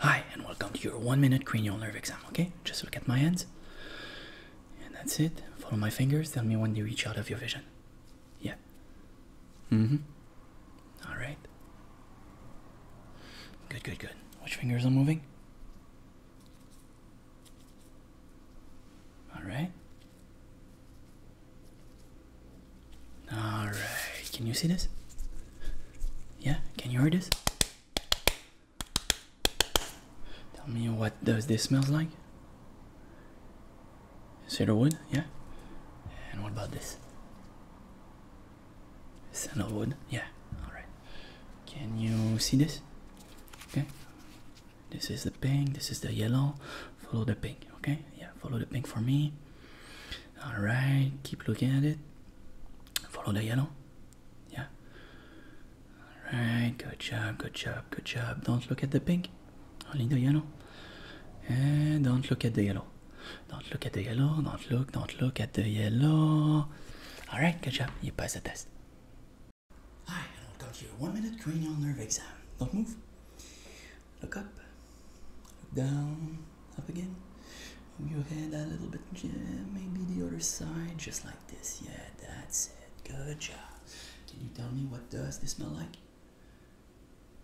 Hi, and welcome to your one minute cranial nerve exam. Okay, just look at my hands, and that's it. Follow my fingers, tell me when they reach out of your vision. Yeah. Mm hmm. Alright. Good, good, good. Which fingers I'm moving? Alright. Alright, can you see this? Yeah, can you hear this? Tell me what does this smells like? Cedar wood, yeah. And what about this? Sandalwood, yeah. All right. Can you see this? Okay. This is the pink. This is the yellow. Follow the pink. Okay. Yeah. Follow the pink for me. All right, keep looking at it. Follow the yellow. Yeah. All right, good job, good job, good job. Don't look at the pink. Only the yellow. And don't look at the yellow. Don't look at the yellow. Don't look. Don't look at the yellow. All right, good job. You passed the test. Hi, I'm going to a one-minute cranial nerve exam. Don't move. Look up. Look down. Up again. Move your head a little bit. Yeah, maybe the other side. Just like this. Yeah, that's it. Good job. Can you tell me what does this smell like?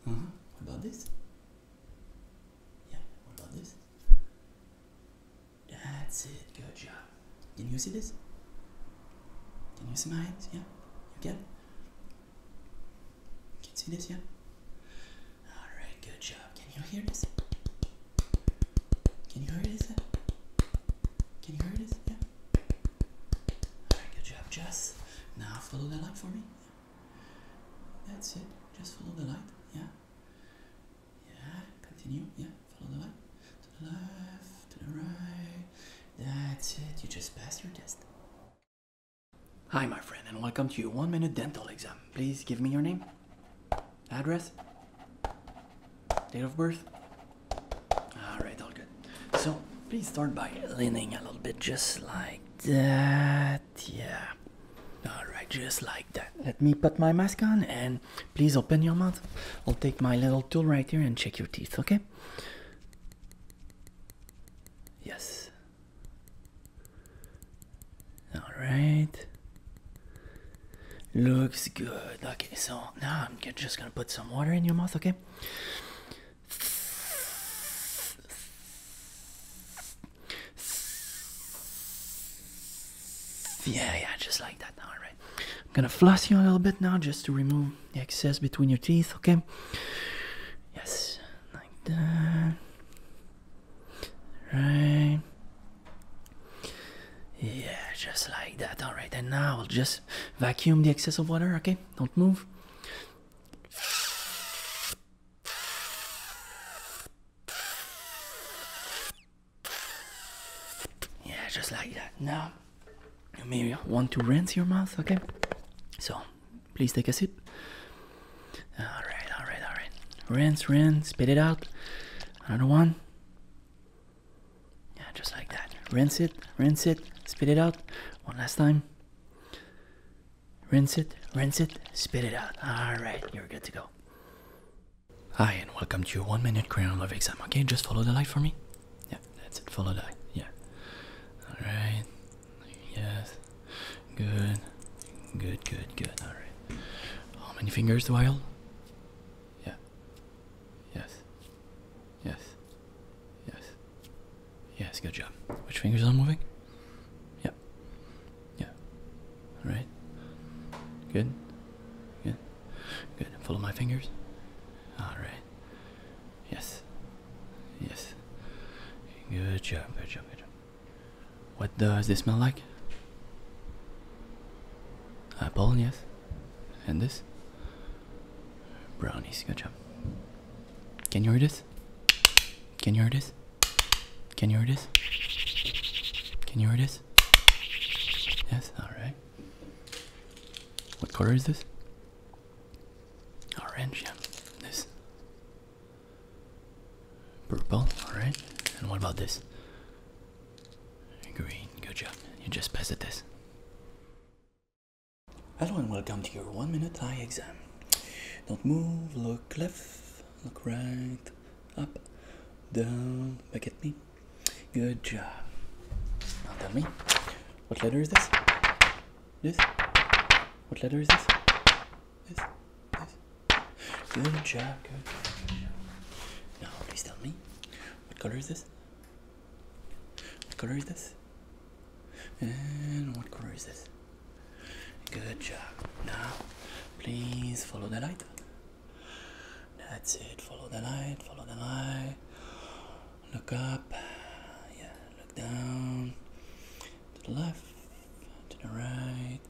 Uh huh. What about this? Yeah. What about this? That's it. Good job. Can you see this? Can you see my Yeah. You get can You see this, yeah? Alright, good job. Can you hear this? Can you hear this? Can you hear this? Yeah? Alright, good job. Just now follow that light for me. That's it. Just follow the light. Yeah. Yeah. Continue. Yeah. Follow the light. To the left, to the right. That's it. You just passed your test. Hi, my friend, and welcome to your one minute dental exam. Please give me your name, address, date of birth. All right, all good. So, please start by leaning a little bit, just like that. Yeah. All right, just like that. Let me put my mask on and please open your mouth. I'll take my little tool right here and check your teeth, okay? Yes. Alright. Looks good. Okay, so now I'm just gonna put some water in your mouth, okay? Yeah, yeah, just like that. All right. I'm gonna floss you a little bit now just to remove the excess between your teeth, okay? Yes like that. Right? Yeah, just like that. All right, and now I'll just vacuum the excess of water. Okay, don't move. Yeah, just like that. Now, maybe I want to rinse your mouth. Okay, so Please take a sip. Alright, alright, alright. Rinse, rinse, spit it out. Another one. Yeah, just like that. Rinse it, rinse it, spit it out. One last time. Rinse it, rinse it, spit it out. Alright, you're good to go. Hi, and welcome to your one minute crayon love exam. Okay, just follow the light for me. Yeah, that's it. Follow the light. Yeah. Alright. Yes. Good. Good, good, good. Alright. How many fingers do I hold? Yeah. Yes. Yes. Yes. Yes, good job. Which fingers are moving? Yep. Yeah. Alright. Good. Good. Good. Follow my fingers. Alright. Yes. Yes. Good job, good job, good job. What does this smell like? Apple, yes. And this? Brownies, good job. Can you hear this? Can you hear this? Can you hear this? Can you hear this? Yes, alright. What color is this? Orange, yeah. This. Purple, alright. And what about this? Green, good job. You just passed this. Hello and welcome to your one minute eye exam. Don't move, look left, look right, up, down, back at me. Good job. Now tell me, what letter is this? This? What letter is this? This? This? Good job, good job, good job. Now, please tell me, what color is this? What color is this? And what color is this? Good job. Now, please follow the light. That's it. Follow the light, follow the light. Look up. Yeah, look down. To the left. To the right.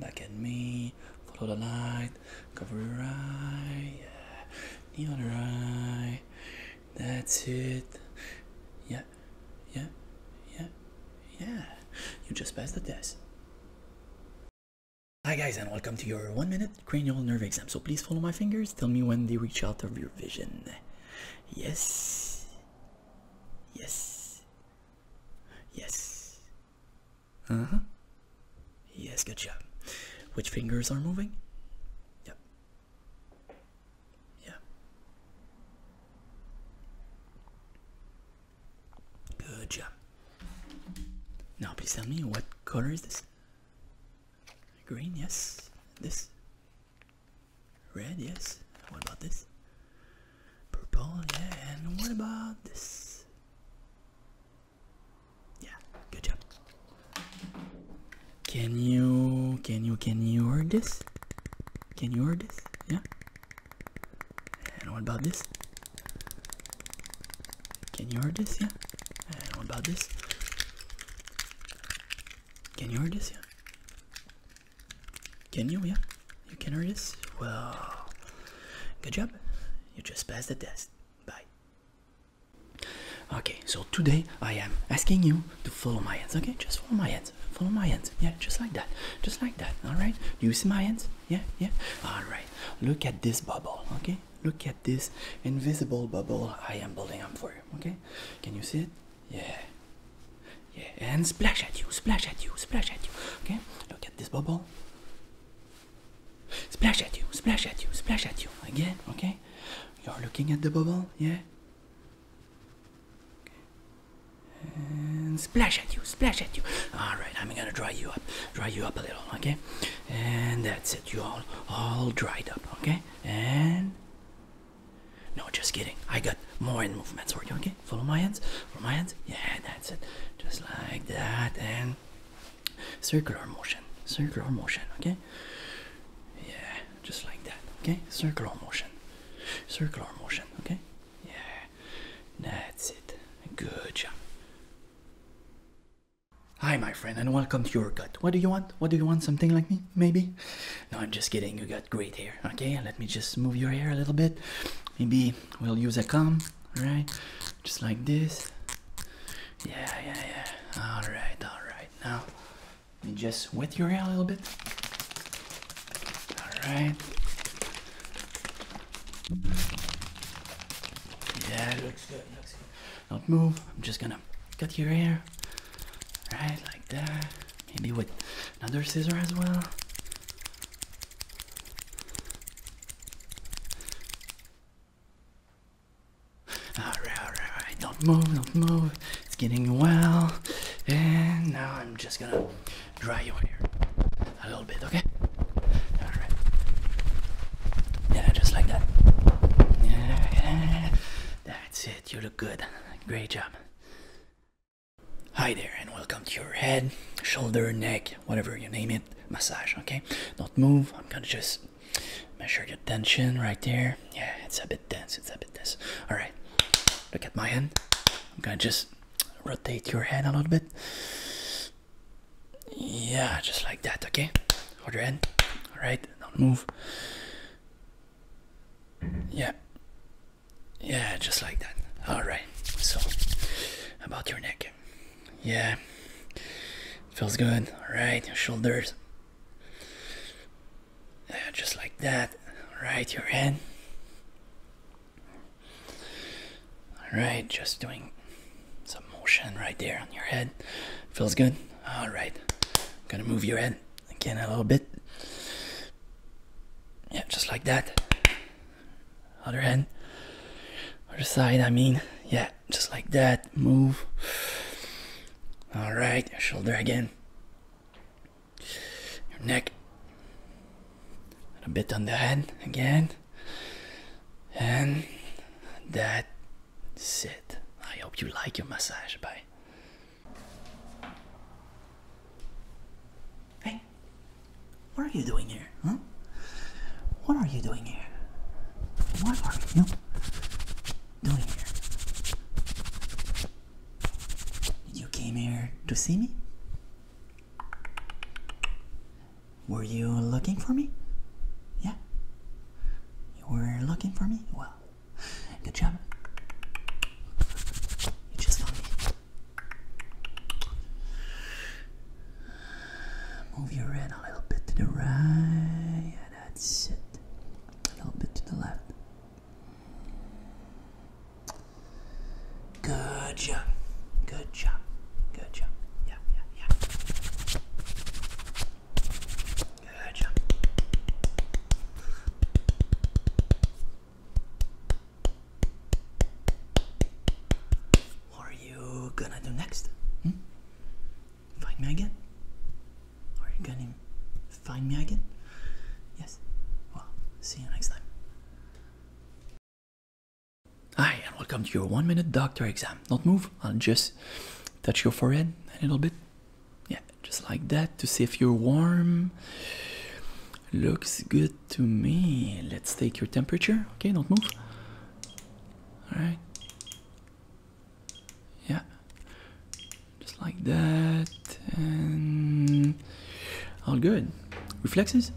Back at me. Follow the light. Cover your eye. Yeah. The other That's it. Yeah. Yeah. Yeah. Yeah. You just passed the test. Hi guys and welcome to your one minute cranial nerve exam. So please follow my fingers. Tell me when they reach out of your vision. Yes. Yes. Yes. Uh huh. Yes, good job. Which fingers are moving? Yep. Yeah. Good job. Now, please tell me what color is this? Green, yes. This. Red, yes. What about this? Purple, yeah. And what about this? Yeah, good job. Can you, can you, can you hear this? Can you hear this? Yeah. And what about this? Can you hear this? Yeah. And what about this? Can you hear this? Yeah. Can you? Yeah. You can hear this? Well, good job. You just passed the test. Bye. Okay, so today I am asking you to follow my hands. Okay, just follow my hands. Follow my hands. Yeah, just like that. Just like that. All right. Do you see my hands? Yeah, yeah. All right. Look at this bubble. Okay, look at this invisible bubble i am building up for you okay can you see it yeah yeah and splash at you splash at you splash at you okay look at this bubble splash at you splash at you splash at you again okay you're looking at the bubble yeah and splash at you splash at you all right i'm gonna dry you up dry you up a little okay and that's it. You all all dried up, okay? And no, just kidding. I got more in movements okay? Follow my hands. Follow my hands. Yeah, that's it. Just like that and circular motion. Circular motion, okay? Yeah, just like that. Okay? Circular motion. Circular motion, okay? Yeah. That's it. Good job. Hi, my friend, and welcome to your gut. What do you want? What do you want? Something like me, maybe? No, I'm just kidding. You got great hair. Okay, let me just move your hair a little bit. Maybe we'll use a comb, right? Just like this. Yeah, yeah, yeah. All right, all right. Now, let me just wet your hair a little bit. All right. Yeah, looks good. Looks good. Don't move. I'm just gonna cut your hair. Right, like that. Maybe with another scissor as well. Alright, alright, alright. Don't move, don't move. It's getting well. And now I'm just gonna dry your hair little bit, okay? Yeah, just like that. that's it. You look good. Great job. Hi there, and welcome to your head, shoulder, neck, whatever you name it, massage, okay? not move. I'm gonna just measure your tension right there. Yeah, it's a bit dense. It's a bit dense. Alright. Look at my hand. I'm gonna just rotate your head a little bit. Yeah, just like that, okay? Hold your hand. Alright, don't move. Yeah. Yeah, just like that. Alright, so about your neck. Yeah. Feels good. Alright, shoulders. Yeah, just like that. Alright, your head. All right, just doing some motion right there on your head. Feels good. alright I'm gonna move your head again a little bit. Yeah, just like that. Other hand, other side. I mean, yeah, just like that. Move. All right, shoulder again. Your neck a bit on the head again and that's it i hope you like your massage bye hey what are you doing here huh what are you doing here what are you doing here you came here to see me were you looking for me? Yeah? You were looking for me? Well, good job. You just found me. Move your head a little bit to the right. Yeah, that's it. A little bit to the left. Good job. Good job. Good job. Yeah, yeah, yeah. Good job. What are you gonna do next? Hmm? Find me again? Are you gonna find me again? Yes. Well, see you next time. Hi, and welcome to your one minute doctor exam. not move, I'll just touch your forehead a little bit. Yeah, just like that to see if you're warm. Looks good to me. Let's take your temperature. Okay, don't move. Alright. Yeah. Just like that. And all good. Reflexes?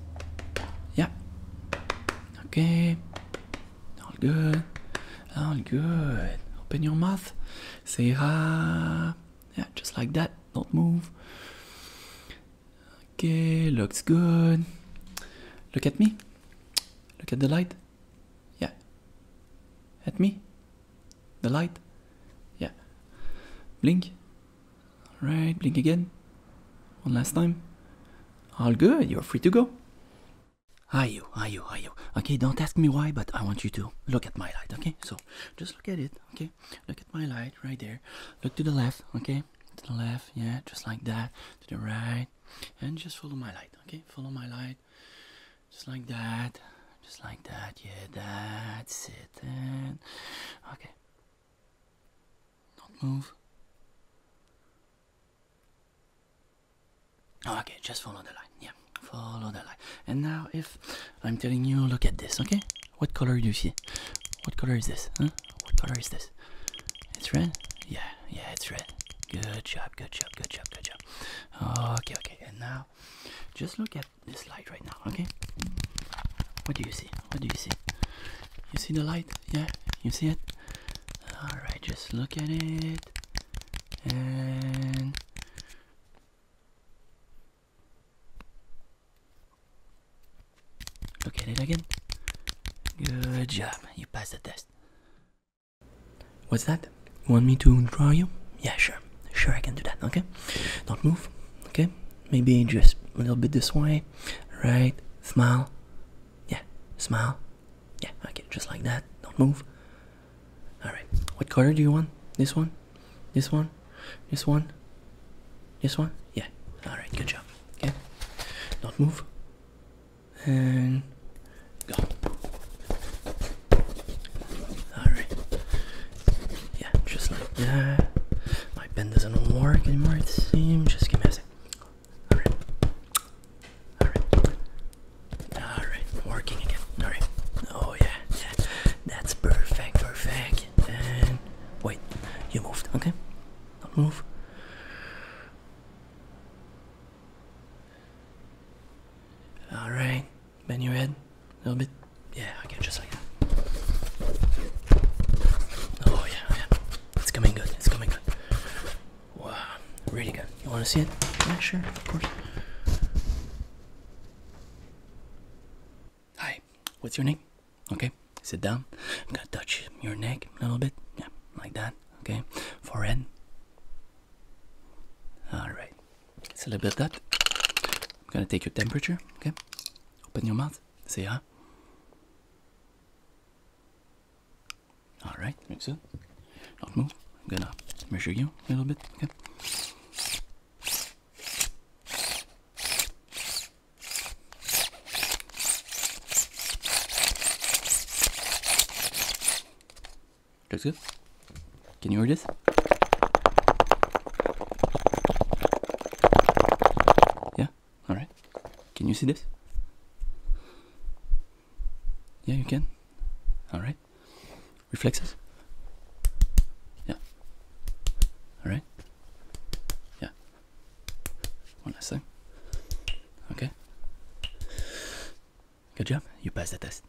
Yeah. Okay. All good. All good. Open your mouth. Say ha. Yeah, just like that. Don't move. Okay, looks good. Look at me. Look at the light. Yeah. At me. The light. Yeah. Blink. Alright, blink again. One last time. All good, you're free to go. Hi you, hi you, hi you. Okay, don't ask me why, but I want you to look at my light, okay? So just look at it, okay? Look at my light right there. Look to the left, okay? To the left, yeah, just like that. To the right. And just follow my light, okay? Follow my light. Just like that. Just like that. Yeah, that's it. Then, okay. Not move. Oh, okay, just follow the line. Yeah, follow the line. And now, if I'm telling you, look at this, okay? What color do you see? What color is this? Huh? What color is this? It's red? Yeah, yeah, it's red. Good job, good job, good job, good job. Okay, okay. And now, just look at this light right now, okay? What do you see? What do you see? You see the light? Yeah, you see it? Alright, just look at it and look at it again. Good job, you passed the test. What's that? Want me to draw you? Yeah, sure. Sure, I can do that. Okay, don't move. Okay, maybe just a little bit this way. Right, smile. Yeah, smile. Yeah, okay, just like that. Don't move. All right, what color do you want? This one, this one, this one, this one. Yeah. All right, good job. Okay, don't move. And go. All right. Yeah, just like that. My pen doesn't work anymore, it seems. Just give messy. Alright. Alright. Alright, working again. Alright. Oh, yeah, yeah. That's perfect, perfect. And wait, you moved, okay? Don't move. Alright, Bend your head a little bit. Yeah, okay, just like that. Oh yeah, oh, yeah. It's coming good. It's coming good. Wow, really good. You want to see it? Yeah, sure, of course. Hi, what's your name? Okay, sit down. I'm gonna touch your neck a little bit. Yeah, like that. Okay, forehead. All right. It's a little bit of that. I'm gonna take your temperature, okay? Open your mouth. See ya. Alright, make so. Not move. I'm gonna measure you a little bit, okay? Looks good. Can you hear this? Yeah? Alright. Can you see this? Yeah, you can. Alright. Reflexes? Yeah. Alright. Yeah. One last thing. Okay. Good job. You passed the test.